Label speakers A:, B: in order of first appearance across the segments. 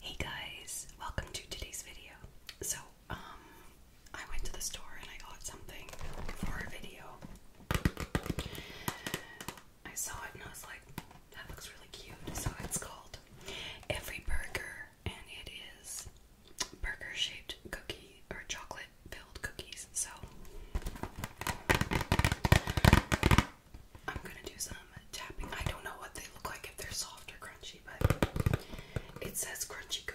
A: Hey guys, welcome to today's video. So, um, I went to the store and I got something for a video. I saw it and I was like, that looks really cute. So it's called Every Burger and it is burger shaped cookie or chocolate filled cookies. So I'm gonna do some tapping. I don't know what they look like if they're soft or crunchy, but it says crunchy cookies.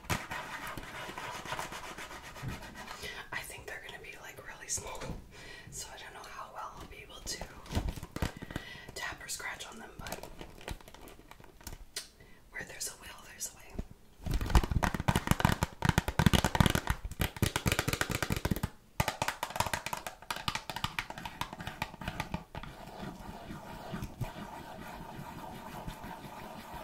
A: I think they're gonna be like really small, so I don't know how well I'll be able to tap or scratch on them, but where there's a will, there's a way.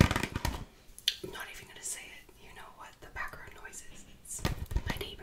A: i not even gonna say it. You know what the background noise is. my neighbor.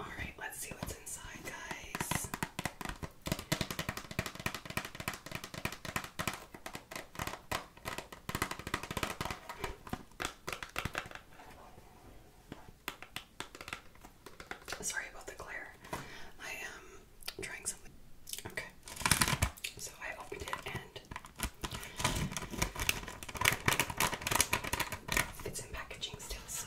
A: All right, let's see what's inside, guys. Sorry about the glare. I am trying something. Okay. So I opened it and it's in packaging still, so.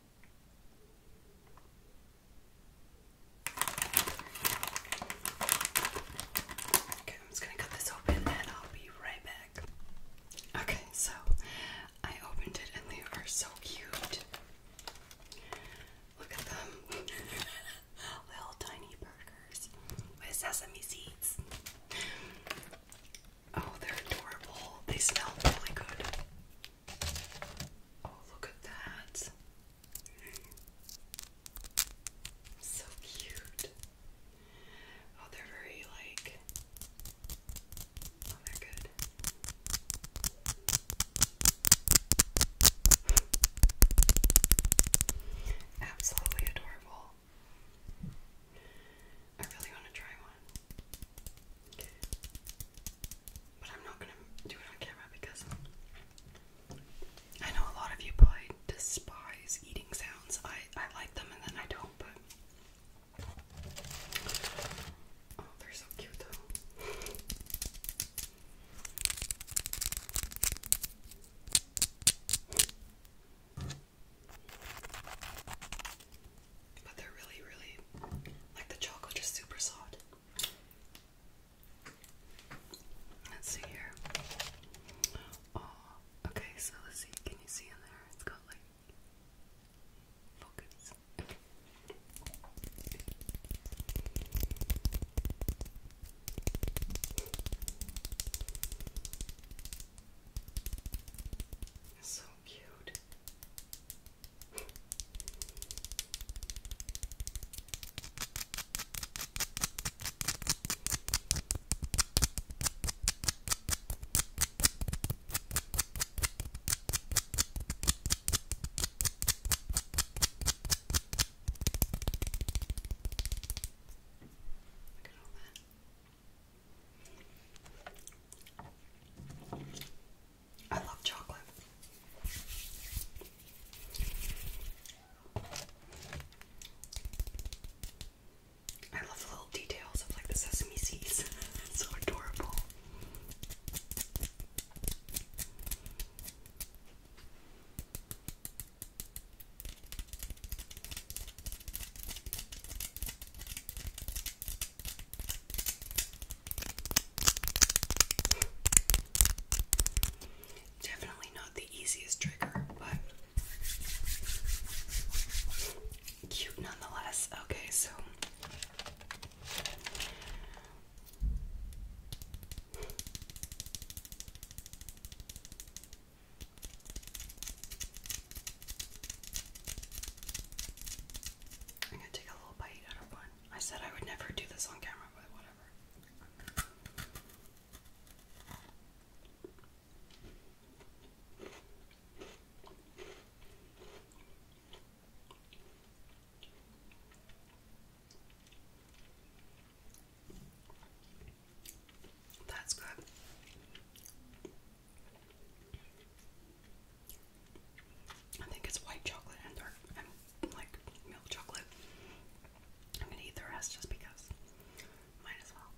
A: Okay, I'm just gonna cut this open and I'll be right back. Okay, so I opened it and they are so cute. Look at them. Little tiny burgers with sesame seeds. Oh, they're adorable. They smell really good. Oh, look at that. So cute. Oh, they're very like. Oh, they're good. Absolutely adorable. I really want to try one. But I'm not gonna do it on camera because I know a lot of you probably despise eating sounds. I, I like them and then I don't, but. Oh, they're so cute though. But they're really, really like the chocolate is super soft. Let's see here. Oh, okay, so let's see. Can you see in there? It's got like focus. so cute. Look at all that. I love chocolate. I love the little details of like the sesame seeds. it's so adorable. Definitely not the easiest trigger, but cute nonetheless. Okay, so I'm gonna take a little bite out of one. I said I would never do this on camera, but whatever. That's good. I think it's white chocolate and dark like milk chocolate. I'm gonna eat the rest just because. Might as well.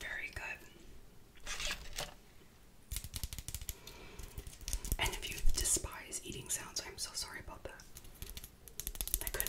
A: Very good. And if you despise eating sounds, I'm so sorry about that. I couldn't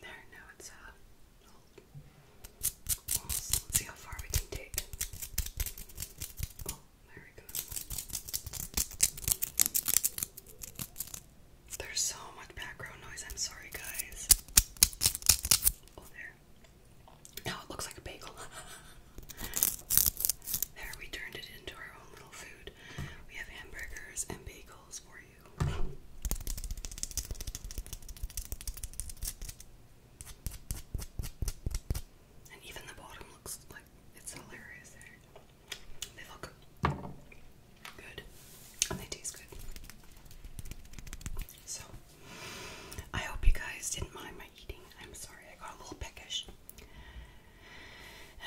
A: There, now it's uh, Let's see how far we can take. Oh, there we go. There's so much background noise. I'm sorry, guys. Oh, there. Now it looks like a bagel. there, we turned it into our own little food. We have hamburgers and bagels for and even the bottom looks like it's hilarious They look good and they taste good. So, I hope you guys didn't mind my eating. I'm sorry, I got a little peckish.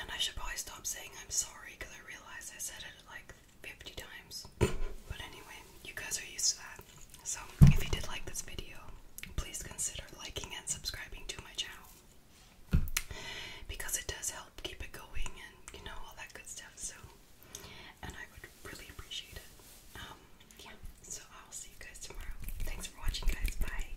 A: And I should probably stop saying I'm sorry because I realize I said it like 50 times. but anyway, you guys are used to that. So if you did like this video, please consider liking and subscribing to my channel because it does help keep it going and you know all that good stuff. So, and I would really appreciate it. Um, yeah. So I'll see you guys tomorrow. Thanks for watching, guys. Bye.